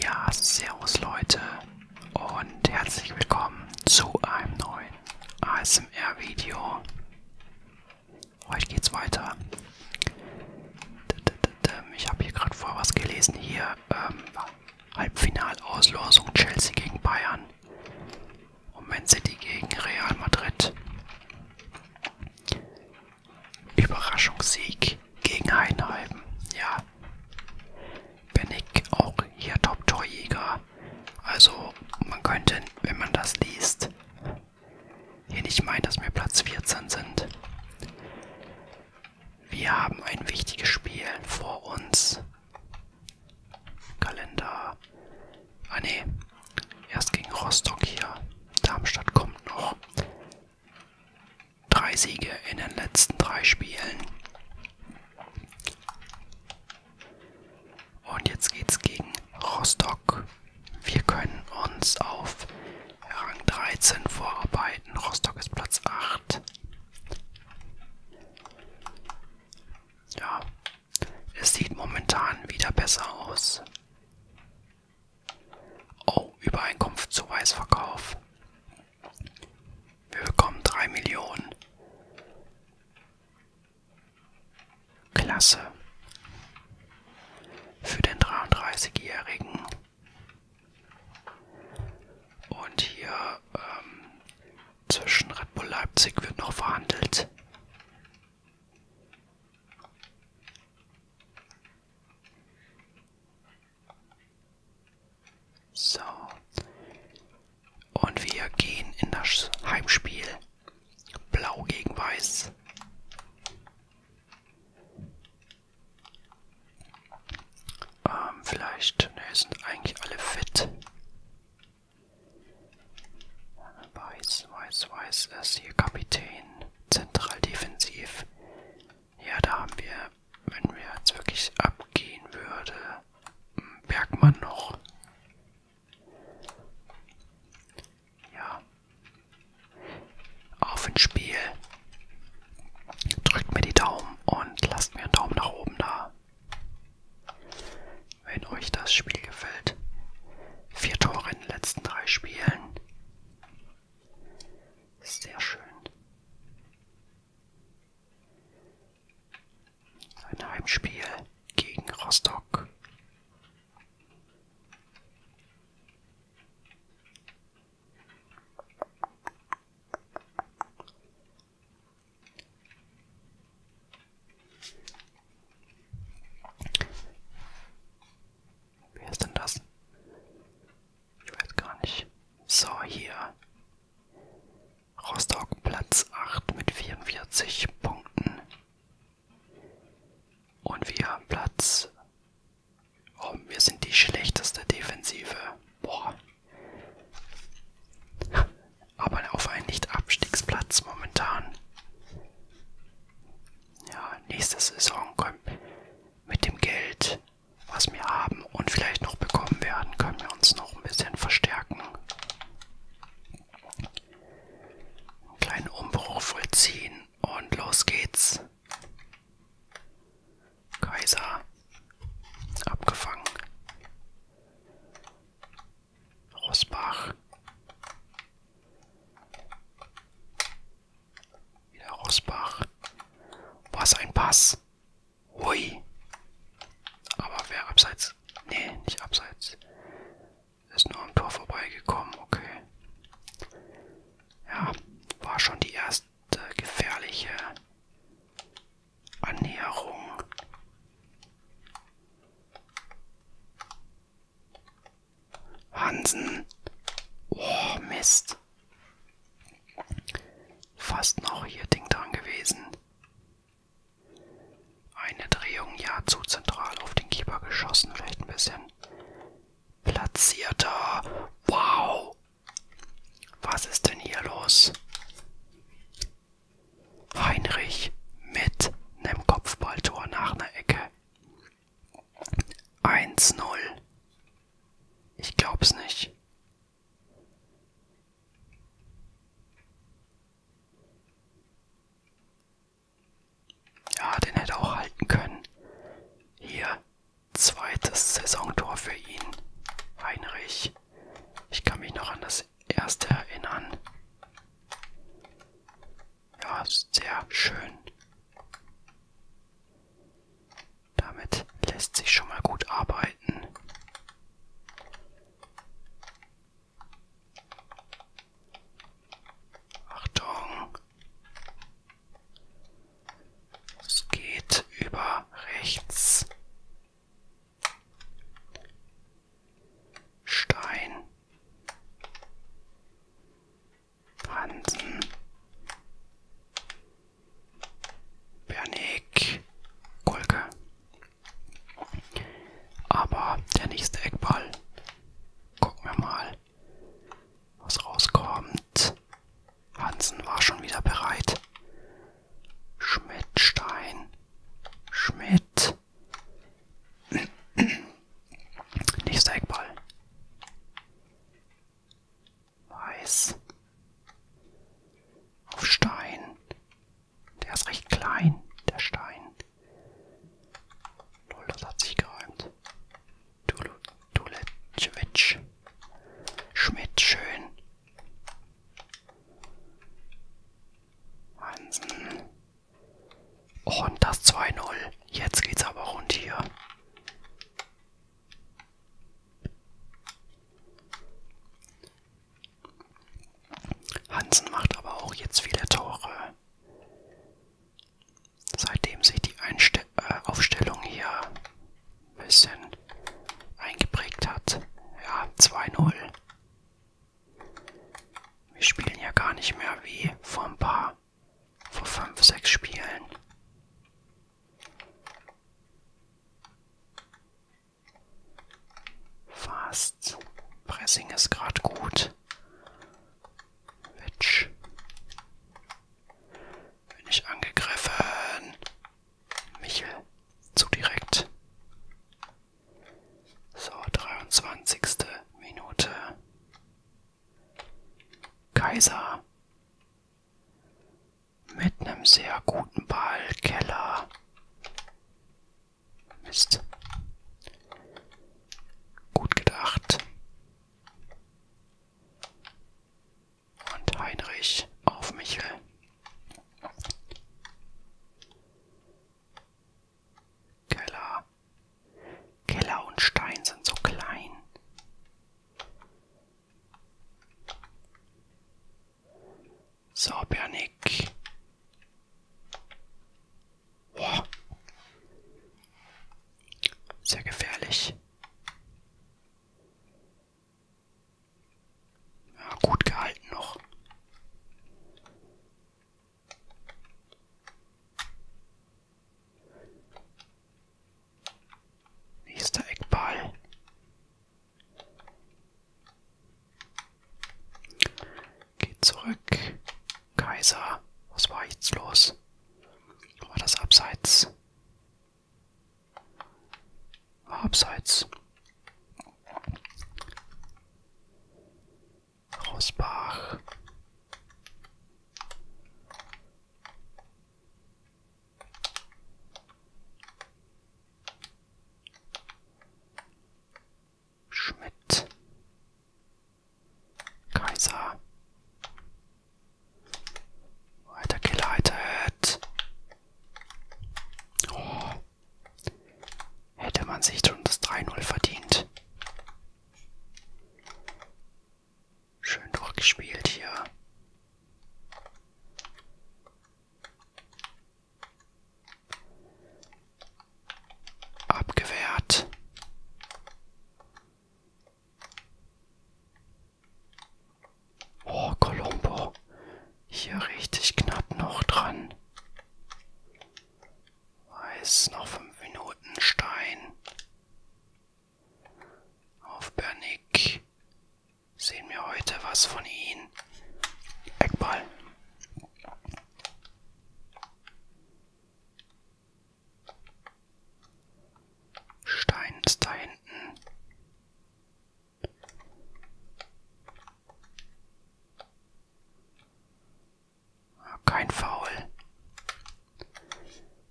Ja, servus Leute und herzlich willkommen zu einem neuen ASMR-Video. Heute geht's weiter. Ich habe hier gerade vor was gelesen. Hier ähm, Halbfinalauslosung Chelsea gegen Bayern und Man City gegen Real Madrid. Überraschungssieg gegen Heinheim. Ja, bin ich auch hier Top-Torjäger. Also man könnte, wenn man das liest, hier nicht meinen, dass wir Platz 14 sind. Wir haben ein wichtiges Spiel vor uns. Kalender. Ah ne, erst gegen Rostock hier. Darmstadt kommt noch. Drei Siege in den letzten drei Spielen. Und jetzt geht's gegen Rostock. Wir können uns auf Rang 13 vorarbeiten. Rostock ist Platz 8. Ja, es sieht momentan wieder besser aus. Oh, Übereinkunft zu Weißverkauf. Wir bekommen 3 Millionen. Klasse. Für den 33-Jährigen. Und hier ähm, zwischen Red Bull Leipzig wird noch verhandelt. So. Und wir gehen in das Heimspiel. Blau gegen Weiß. Ähm, vielleicht, ne, sind eigentlich alle fit. Weiß, Weiß, Weiß ist hier Kapitän. Zentral defensiv. Ja, da haben wir, wenn wir jetzt wirklich abgehen würde, hm, Bergmann noch. Ja. Auf ins Spiel. Drückt mir die Daumen und lasst mir einen Daumen nach oben da. Wenn euch das Spiel gefällt. Vier Tore in den letzten drei Spielen. Sehr schön. Ein Heimspiel gegen Rostock. Wer ist denn das? Ich weiß gar nicht. So, hier. Rostock Platz 8 mit 44 Punkten. Und wir Platz. Oh, wir sind die schlechteste Defensive. Boah. Aber auf einen Nicht-Abstiegsplatz momentan ja, nächste Saison können mit dem Geld, was wir haben und vielleicht noch bekommen werden, können wir uns noch ein bisschen verstärken. Einen kleinen Umbruch vollziehen und los geht's. Kaiser abgefangen. Rosbach. Wieder Rosbach. Was ein Pass. Hui. Aber wer abseits? Nee, nicht abseits. Ist nur am Tor vorbeigekommen, okay. Ja, war schon die erste gefährliche Annäherung. Hansen. Oh, Mist. Fast noch hier Ding dran gewesen. Eine Drehung, ja, zu zentral auf den Keeper geschossen, vielleicht ein bisschen. Platzierter. Wow. Was ist denn hier los? Heinrich mit einem Kopfballtor nach einer Ecke. 1-0. Ich glaub's nicht. Ja, den hätte auch halten können. Hier, zweites Saisontor für ihn. Heinrich. Ich kann mich noch an das erste erinnern ja, sehr schön. Damit lässt sich schon mal gut arbeiten. Achtung. Es geht über rechts. Stein. Hansen. Bernick. Kolke. Aber der nächste Eckball. Gucken wir mal, was rauskommt. Hansen war schon wieder bereit. Schmidt, Stein, Schmidt, Nächster Eckball. Weiß. Auf Stein. Der ist recht klein, der Stein. Null, das hat sich geräumt. Dulechewitsch. Schmidt, schön. Hansen. Und das 2-0. Jetzt geht's aber rund hier. Hansen macht aber auch jetzt viele Tore. Seitdem sich die Einste äh, Aufstellung hier ein bisschen eingeprägt hat. Ja, 2-0. Wir spielen ja gar nicht mehr wie vor ein paar, vor fünf, sechs Spielen. Fast. Pressing ist gerade gut. Witch. Bin ich angegriffen. Michel. Zu direkt. So, 23. Minute. Kaiser mit einem sehr guten Ball. Keller. Mist. Gut gedacht. Und Heinrich auf Michel. Keller. Keller und Stein sind so klein. So, Bernick. Boah. Sehr gefährlich. Ja, gut gehalten noch. Nächster Eckball. Geht zurück. Kaiser. Was war jetzt los? War das abseits? War abseits. Rosbach. Schmidt. Kaiser. Weitergeleitet. Oh. Hätte man sich schon das 3-0 verdient. Schön durchgespielt hier. Abgewehrt. Oh, Colombo. Hier richtig knapp noch dran. Weiß noch fünf Minuten Stein. Auf Bernick. Sehen wir heute was von ihnen. Eckball. Stein ist da hinten. Kein Foul.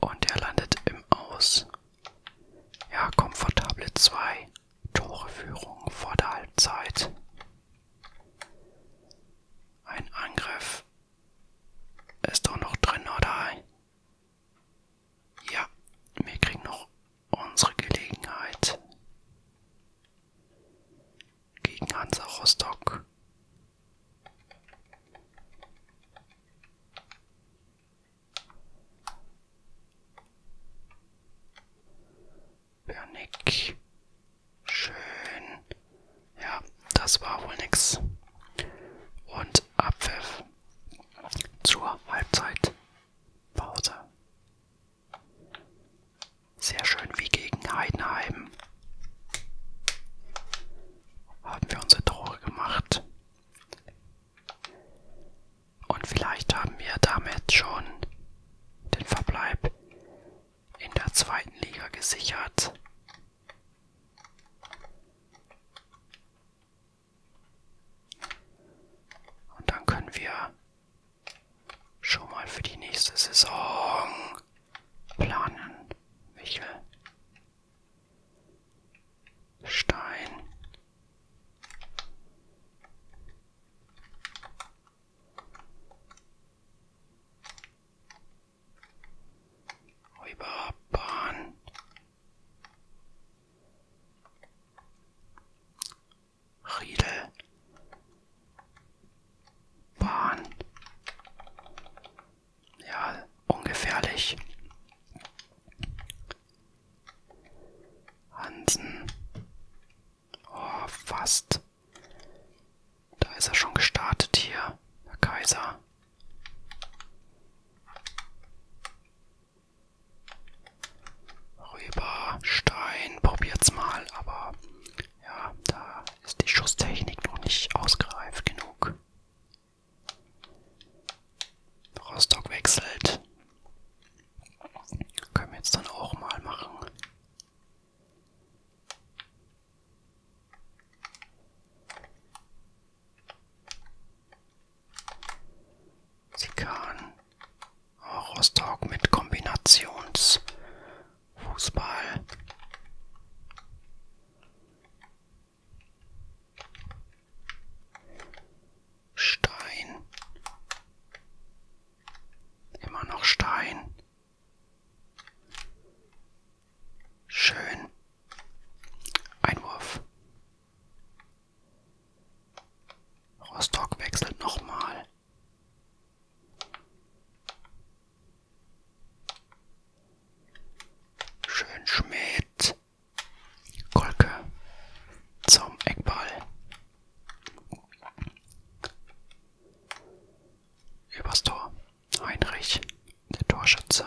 Und er landet im Aus. Ja, komfortable 2. Toreführung vor der Halbzeit. Ein Angriff. Ist doch noch drin, oder? Ja, wir kriegen noch unsere Gelegenheit gegen Hansa Rostock. Bernick. Schön. Ja, das war wohl nix. Und Abpfiff zur Halbzeitpause. Sehr schön wie gegen Heidenheim. Haben wir unsere Tore gemacht. Und vielleicht haben wir damit schon den Verbleib in der zweiten Liga gesichert. Und dann können wir schon mal für die nächste Saison planen. Michel. Stein. Räuberbahn. Riedel. Bahn. Ja, ungefährlich. Hansen. Oh, fast. Da ist er schon gestartet hier, der Kaiser rüber. Stein, probiert's mal, aber ja, da ist die Schusstechnik noch nicht ausgereift genug. Rostock wechselt. Können wir jetzt dann auch mal machen. Sie kann Rostock mit Kombinationsfußball. Stein. Immer noch Stein. Schön. Einwurf. Rostock wechselt nochmal. Schön Schmidt. Kolke zum Eckball. Übers Tor. Heinrich, der Torschütze.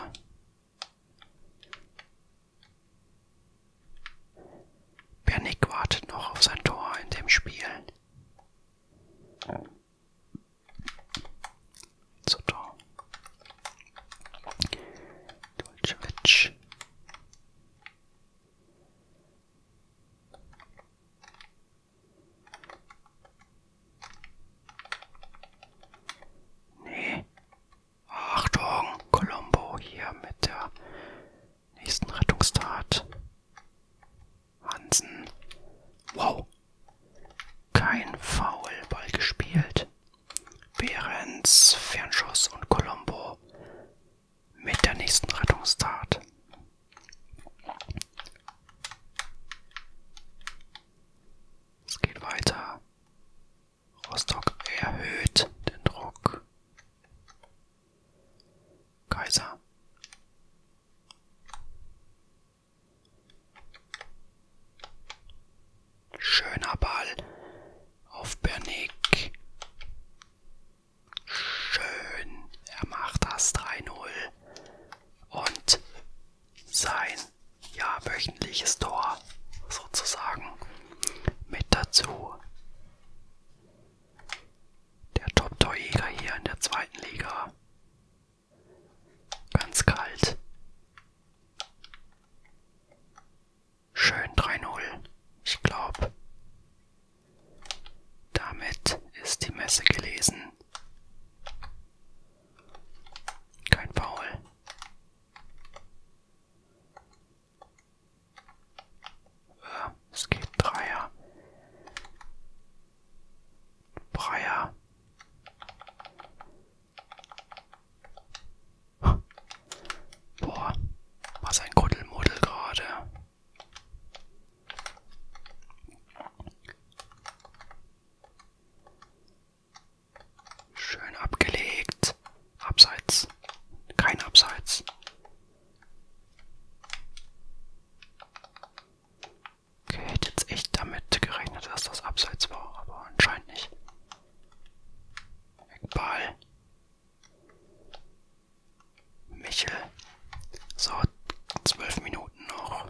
Bernick wartet noch auf sein Tor in dem Spiel. So Tor. Dulcevic. Nee, Achtung, Colombo hier mit der nächsten Rettungstat. Hansen. Wow. Kein Foul, Ball gespielt. Behrens, Fernschuss und Colombo mit der nächsten Rettungstat. Es geht weiter. Rostock erhöht den Druck. Kaiser. Schöner Ball auf Bernick. Schön. Er macht das 3-0. Und sein ja wöchentliches Tor sozusagen mit dazu. Der Top-Torjäger hier in der zweiten Liga. Ganz kalt. Schön 3-0. Ich glaube, damit ist die Messe gelesen. Kein Paul. Äh, es geht Dreier. Dreier. Boah, was ein Kuddelmuddel gerade. Schön abgelegt. Abseits. Kein Abseits. Okay, hätte jetzt echt damit gerechnet, dass das Abseits war, aber anscheinend nicht. Eckball. Michel. So, zwölf Minuten noch.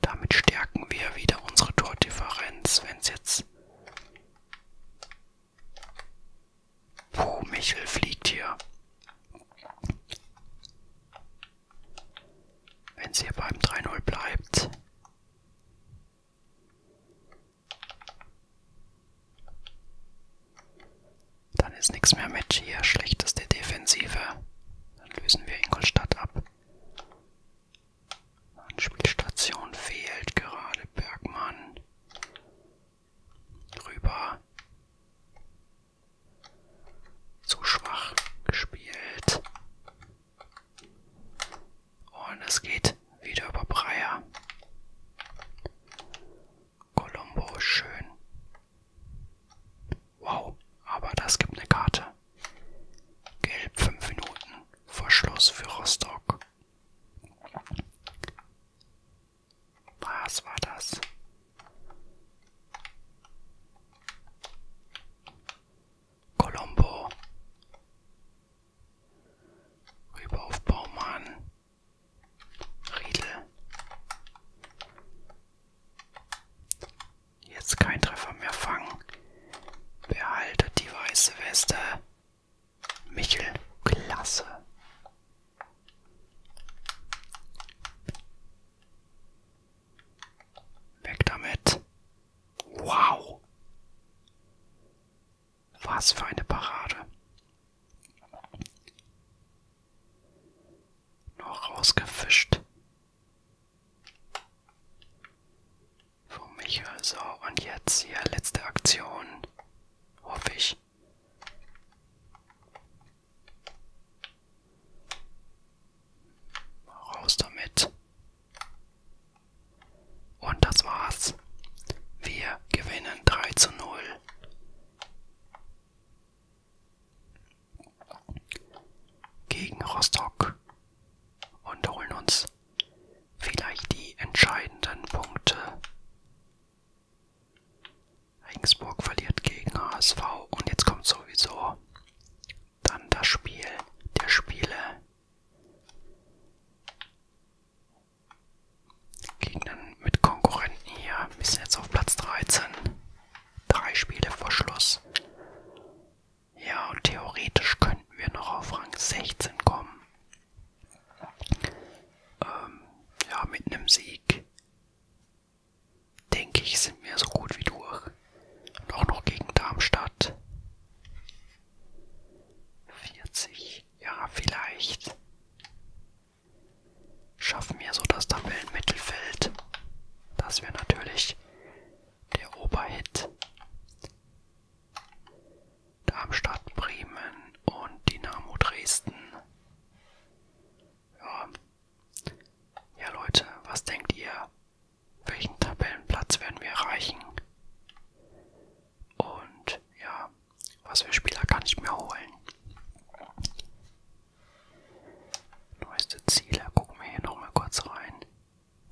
Damit stärken wir wieder unsere Tordifferenz, wenn es jetzt... Puh, Michel fliegt hier. Wenn es hier beim 3-0 bleibt. Dann ist nichts mehr mit hier. Schlechteste Defensive. Dann lösen wir Ingolstadt ab. Anspielstation fehlt gerade. Bergmann. Rüber. Zu schwach gespielt. Und es geht wieder über Breyer. Colombo schön. Wow, aber das gibt eine Karte. Gelb 5 Minuten vor Schluss für Rostock. Was war das? Colombo. Rüber auf Baumann. Riedel. Jetzt kein Treffer mehr fangen. Behalte die weiße Weste. Michel, klasse. Weg damit. Wow. Was für eine Parade. Noch rausgefischt. Von mich also. Und jetzt hier letzte Aktion. Hoffe ich. Raus damit. Und das war's. Wir gewinnen 3 zu 0 gegen Rostock und holen uns vielleicht die entscheidenden Punkte. Regensburg verliert gegen HSV und jetzt kommt sowieso dann das Spiel der Spiele. Gehen dann mit Konkurrenten hier. Wir sind jetzt auf Platz 13. Drei Spiele vor Schluss. Ja, und theoretisch könnten wir noch auf Rang 16 kommen. Ähm, ja, mit einem Sieg. Denke ich, sind wir so gut wie durch. Und auch noch gegen Darmstadt. 40. Ja, vielleicht schaffen wir so das Tabellenmittelfeld. Das wäre natürlich der Oberhit. Darmstadt, Bremen und Dynamo Dresden. Ja. ja, Leute, was denkt ihr? Welchen Tabellenplatz werden wir erreichen? Und ja, was für Spieler kann ich mir holen? Neueste Ziele, gucken wir hier nochmal kurz rein.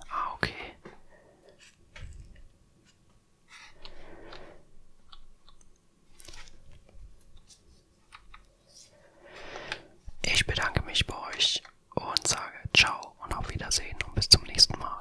Ah, okay. Ich bedanke mich bei euch und sage ciao und auf Wiedersehen und bis zum nächsten Mal.